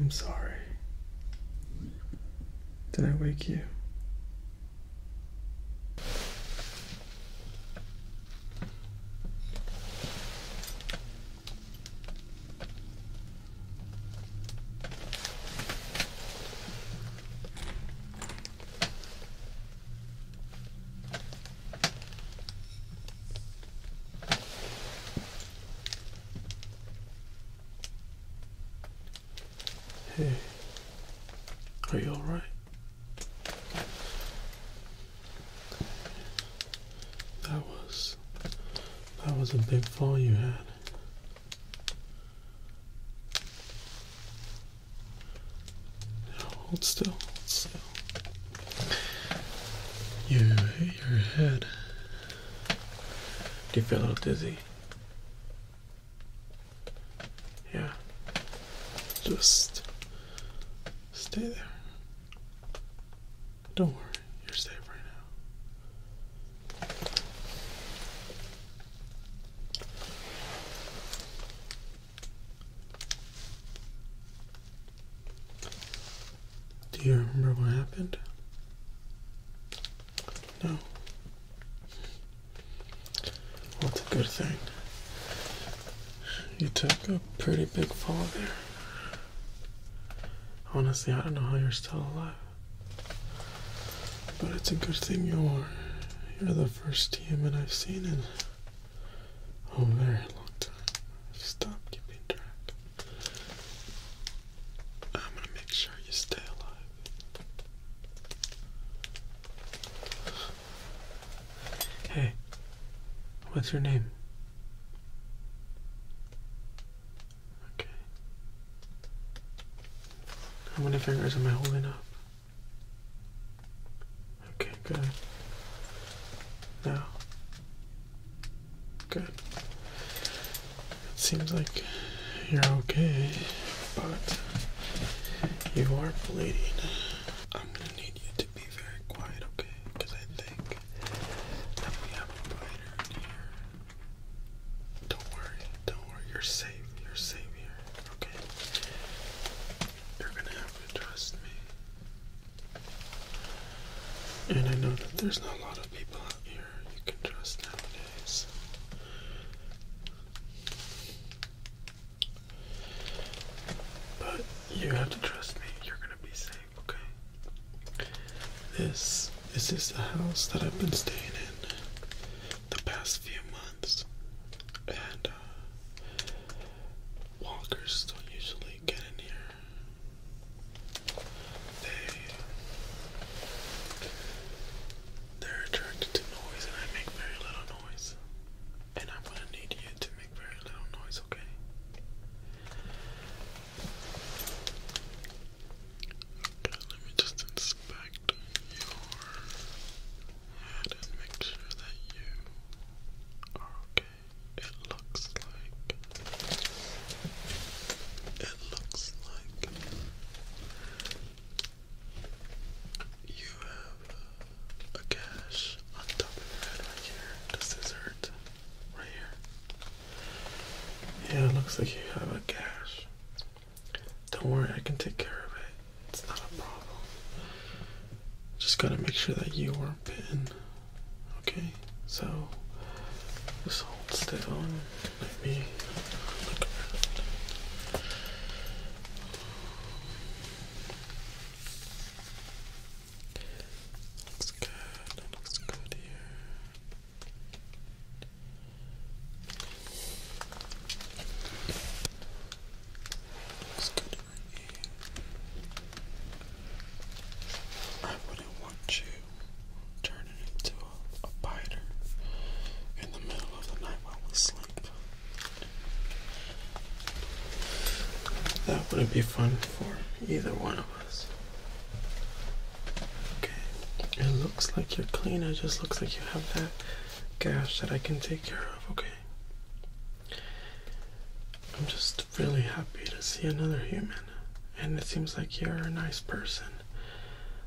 I'm sorry. Did I wake you? Hey, are you all right? That was that was a big fall you had. Hold still, hold still. You hit your head. you feel a little dizzy? Yeah. Just stay there. Don't worry, you're safe right now. Do you remember what happened? No. Well, a good thing. You took a pretty big fall there. Honestly, I don't know how you're still alive. But it's a good thing you are the first human I've seen in a very long time. i keeping track. I'm gonna make sure you stay alive. Hey, what's your name? Okay. How many fingers am I holding up? Okay, good. Now, good. It seems like you're okay, but you are bleeding. I'm gonna need you to be very quiet, okay? Because I think that we have a biter here. Don't worry, don't worry. You're safe. You're safe here okay? You're gonna have to trust me. And I know that there's not a lot of people out here you can trust nowadays. But you have to trust me, you're gonna be safe, okay? This, this is the house that I've been staying in the past few months, and uh, walkers don't usually get in here. They they're attracted to noise, and I make very little noise. And I'm gonna need you to make very little noise, okay? Okay, let me just inspect your and make sure that you are okay. It looks like it looks like you have a gash on top of your head Right here. Yeah, it looks like you have a gash. Don't worry, I can take care of it. It's not a problem. Just gotta make sure that you are pin. Okay, so just hold still and let me look around. Looks good, looks good here. I wouldn't want you turning into a, biter in the middle of the night while we sleep. That wouldn't be fun for either one of us. Okay, it looks like you're clean. It just looks like you have that gas that I can take care of, okay? I'm just really happy to see another human, and it seems like you're a nice person.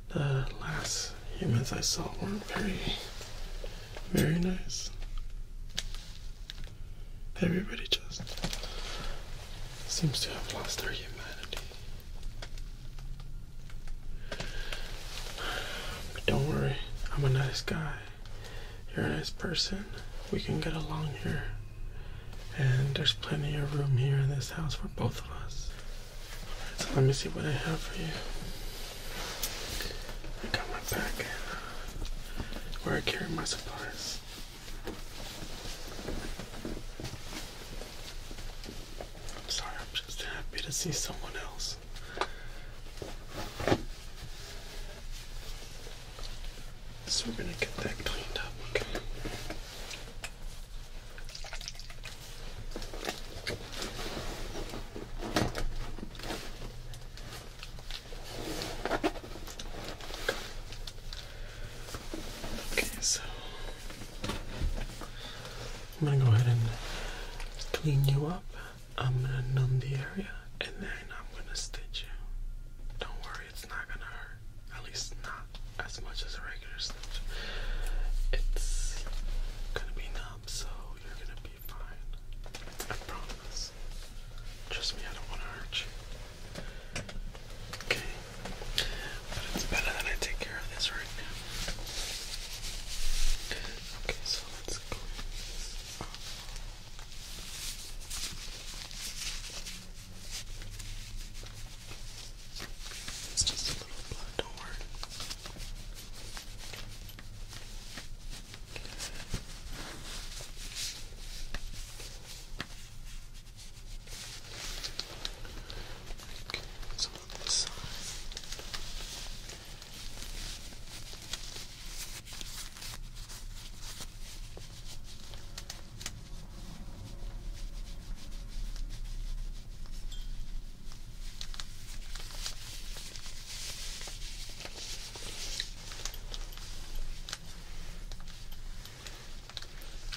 The last humans I saw weren't very, very nice. Everybody just seems to have lost their humanity. But don't worry, I'm a nice guy. You're a nice person. We can get along here. And there's plenty of room here in this house for both of us. Alright, so let me see what I have for you. I got my packet where I carry my supplies. I'm sorry, I'm just happy to see someone else. So we're going to get that cleaned up, okay? Okay, so I'm gonna go ahead and clean you up. I'm gonna numb the area and then I'm gonna stitch you. Don't worry, it's not gonna hurt. At least not as much as a regular stitch. It's gonna be numb, so you're gonna be fine. I promise. Trust me, I don't wanna hurt you. Okay. But it's better that I take care of this right now. Okay, so let's go this It's just a little blood, do Okay, so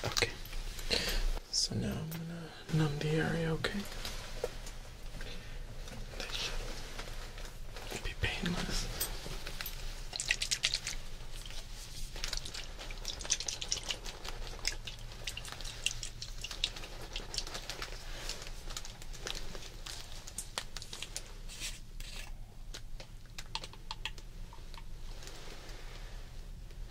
Okay, so now I'm gonna Nundy area, okay? That should be painless.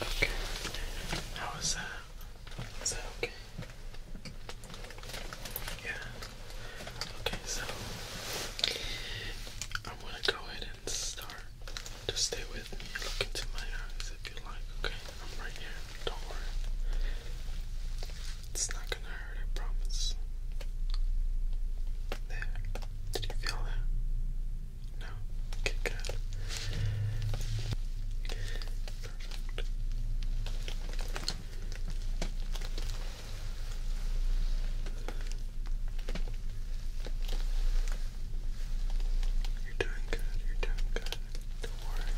Okay. How was that? Is that okay? Yeah. Okay, so I'm gonna go ahead and start just stay with me. Look into my eyes if you like, okay? I'm right here. Don't worry. It's not gonna hurt, I promise. There. Did you feel that? No? Okay, good. Perfect. You're doing good, you're doing good. Don't worry.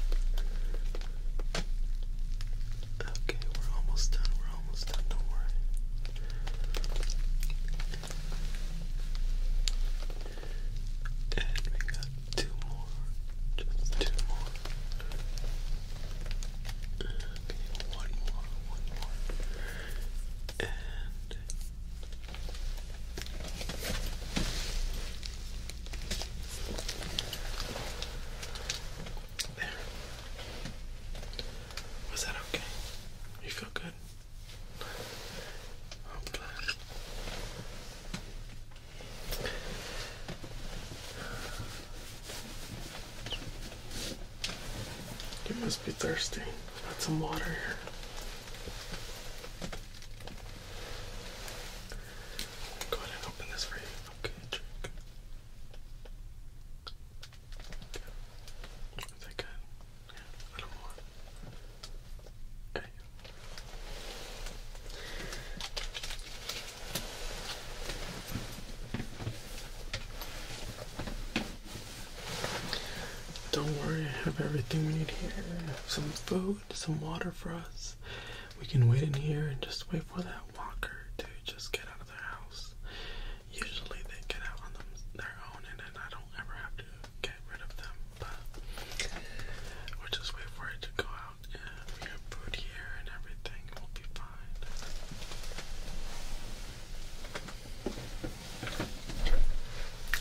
Okay, we're almost done, we're almost done, don't worry. And we got two more. Just two more. Okay, one more, one more. Was that okay? You feel good? I'm glad. You must be thirsty. Got some water here. Go ahead and open this for you. Okay, drink. Is that good? a little more. Okay. Don't worry, I have everything we need here. Some food, some water for us. We can wait in here and just wait for that walker to just get out of the house. Usually they get out on their own, and I don't ever have to get rid of them. But we'll just wait for it to go out, and we have food here and everything. We'll be fine.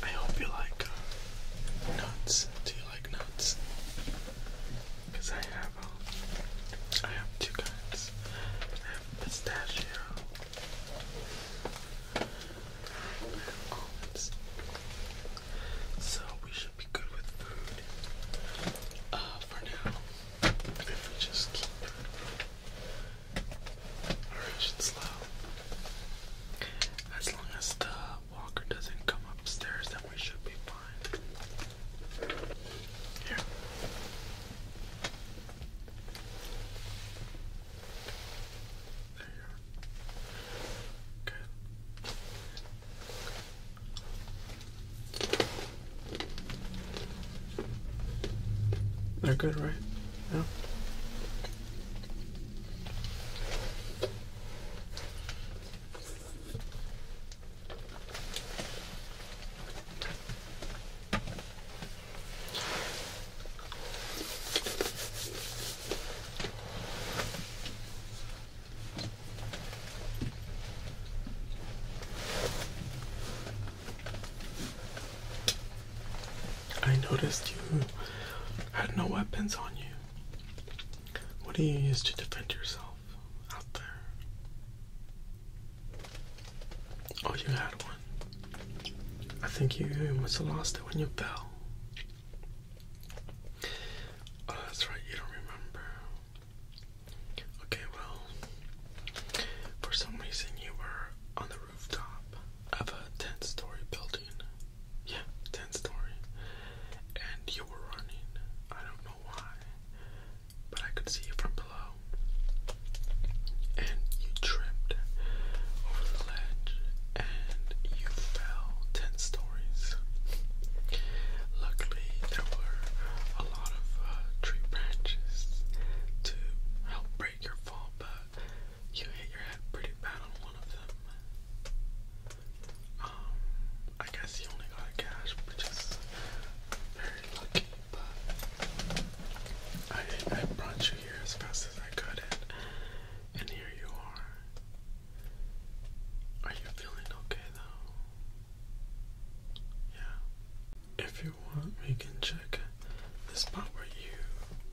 I hope you like uh, nuts. Do you like nuts? Because I have, um, I have two kinds. I have pistachio and almonds. So we should be good with food uh, for now. If we just keep Alright, it's As long as the walker doesn't come upstairs, then we should be fine. Here. There Okay. They're good, right? Yeah. I noticed you had no weapons on you. What do you use to defend yourself out there? Oh, you had one. I think you must have lost it when you fell. Oh, that's right, you don't remember. Okay, well, for some reason, you were on the rooftop of a 10 story building. Yeah, 10 story. And you were running. I don't know why, but I could see you from below. And you tripped over the ledge and you fell 10 stories. Luckily, there were a lot of uh, tree branches to help break your fall, but you hit your head pretty bad on one of them. Um, I guess you only got a gash, which is very lucky, but I, I brought you here as fast as I could, and, and here you are. Are you feeling okay though? Yeah. If you we can check the spot where you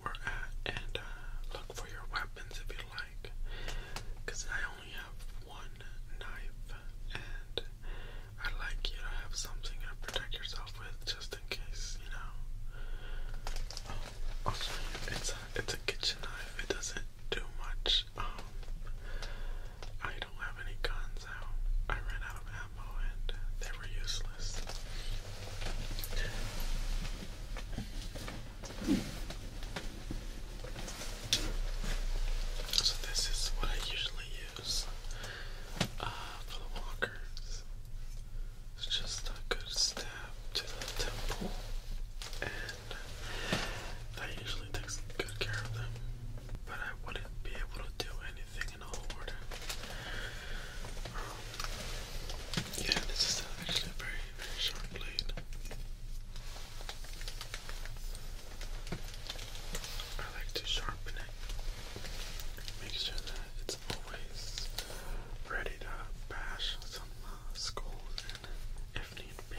were at and uh, look for your weapons if you like. Because I only have one knife, and I like you to have something to protect yourself with just in case, you know. Um, also, it's it's a kitchen knife, it doesn't do much. Um, I don't have any guns, so I ran out of ammo and they were useless. So this is what I usually use uh, for the walkers. It's just a good stab to the temple, and that usually takes good care of them. But I wouldn't be able to do um, yeah, this is actually a very, very sharp blade. I like to sharpen it. Make sure that it's always ready to bash some uh, skulls in if need be.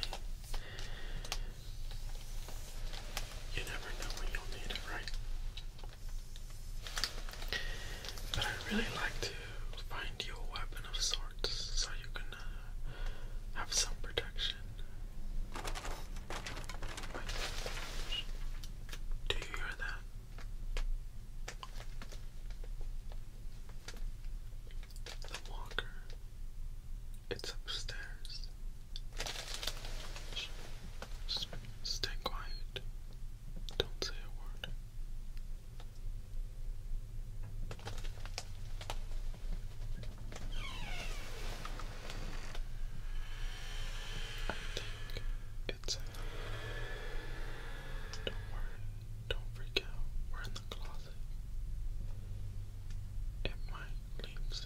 You never know when you'll need it, right? But I'd really like to find you a weapon of sorts so you can uh, have some protection. Do you hear that? The walker. It's upstairs. Stay quiet. Don't say a word. I think it's enough. Don't worry, don't freak out. We're in the closet. It might leave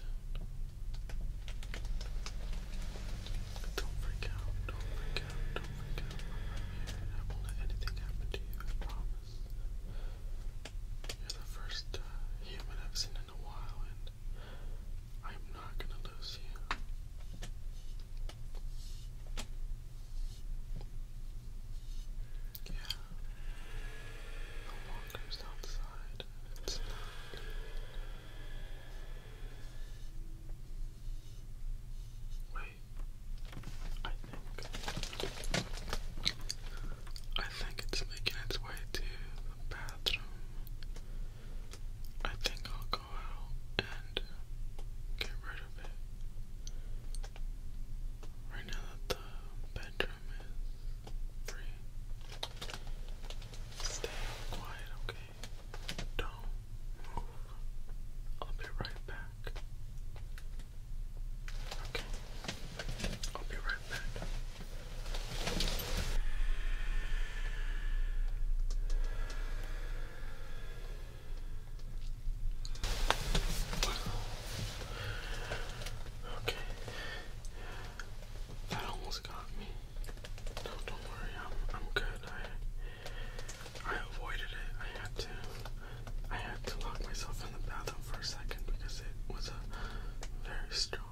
Don't freak out, don't freak out, don't freak out. i won't let anything happen to you, I promise. You're the first human I've seen in a while, and I'm not gonna lose you. Yeah. The walker's outside. It's not Wait, I think I think it's making its way to the bathroom. I think I'll go out and get rid of it. Right now the bedroom is Stay quiet, okay? Don't move. I'll be right back. Okay. I'll be right back. Okay. That almost got me. don't worry. I'm I'm good. I I avoided it. I had to I had to lock myself in the bathroom for a second because it was a very strong.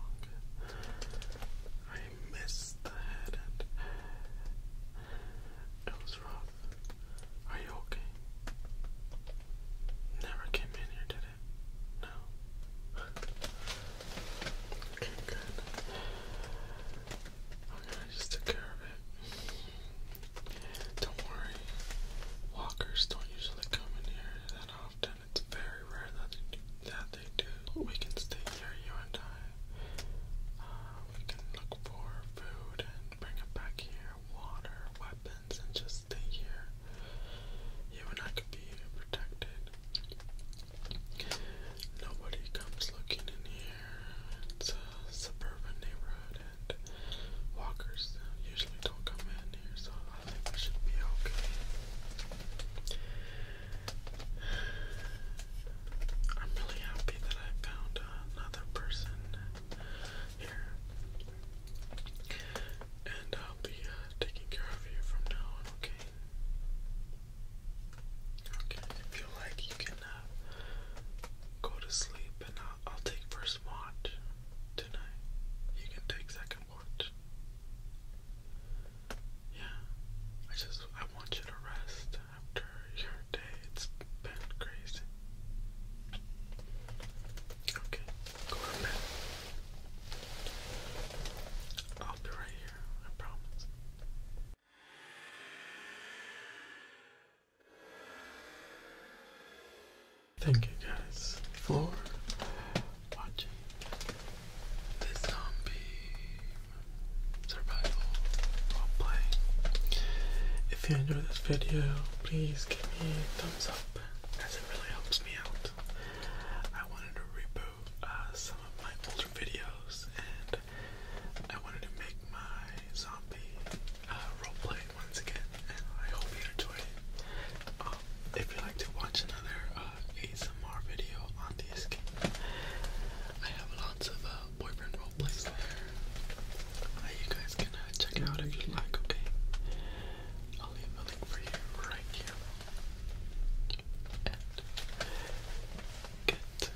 I missed the head it was rough. Are you okay? Never came in here, did it? No. okay, good. Okay, I just took care of it. Don't worry. Walkers don't usually come in here that often. It's very rare that That they do. We can stay here, you and I. Uh, we can look for food and bring it back here, water, weapons, and just stay here. You and I could be protected. Nobody comes looking in here. It's a suburban neighborhood, and walkers usually don't come in here, so I think we should be okay. I'm really happy that I found another person here. And I'll be uh, taking care of you from now on, okay? Okay, if you like, you can uh, go to sleep and i I'll take first watch tonight. You can take second watch. Yeah, I just, I want you to rest after your day. It's been crazy. Okay, Corvette. I'll be right here, I promise. Thank you guys for watching this zombie survival roleplay. If you enjoyed this video, please give me a thumbs up as it really helps me out. I wanted to reboot uh, some of my older videos and I wanted to make my zombie uh, roleplay once again and I hope you enjoy it. Um, if you like to watch another uh, ASMR video on the escape, I have lots of uh, boyfriend roleplays there. you guys can check out if you like, okay? I'll leave a link for you right here get that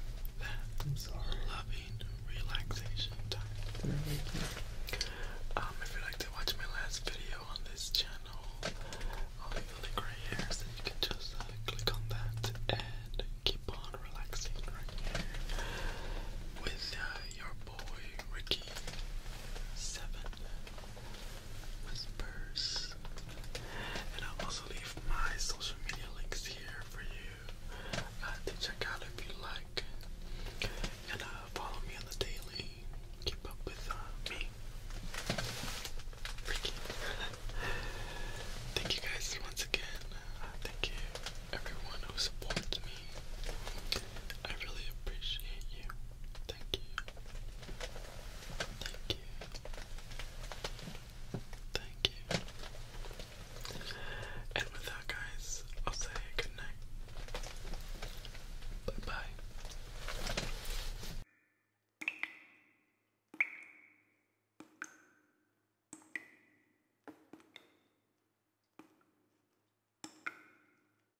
I'm sorry. loving relaxation time. Um, if you like to watch my last video on this channel, i the link right so you can just click on that and keep on relaxing right here with uh, your boy Ricky7. Whispers. And I'll also leave my social media links here for you uh, to check out if you like. And uh, follow me on the daily. Keep up with uh, me. Freaky. thank you guys once again. thank you everyone who supports me. I really appreciate you. Thank you. Thank you. Thank you. And with guys, I'll say good Bye bye.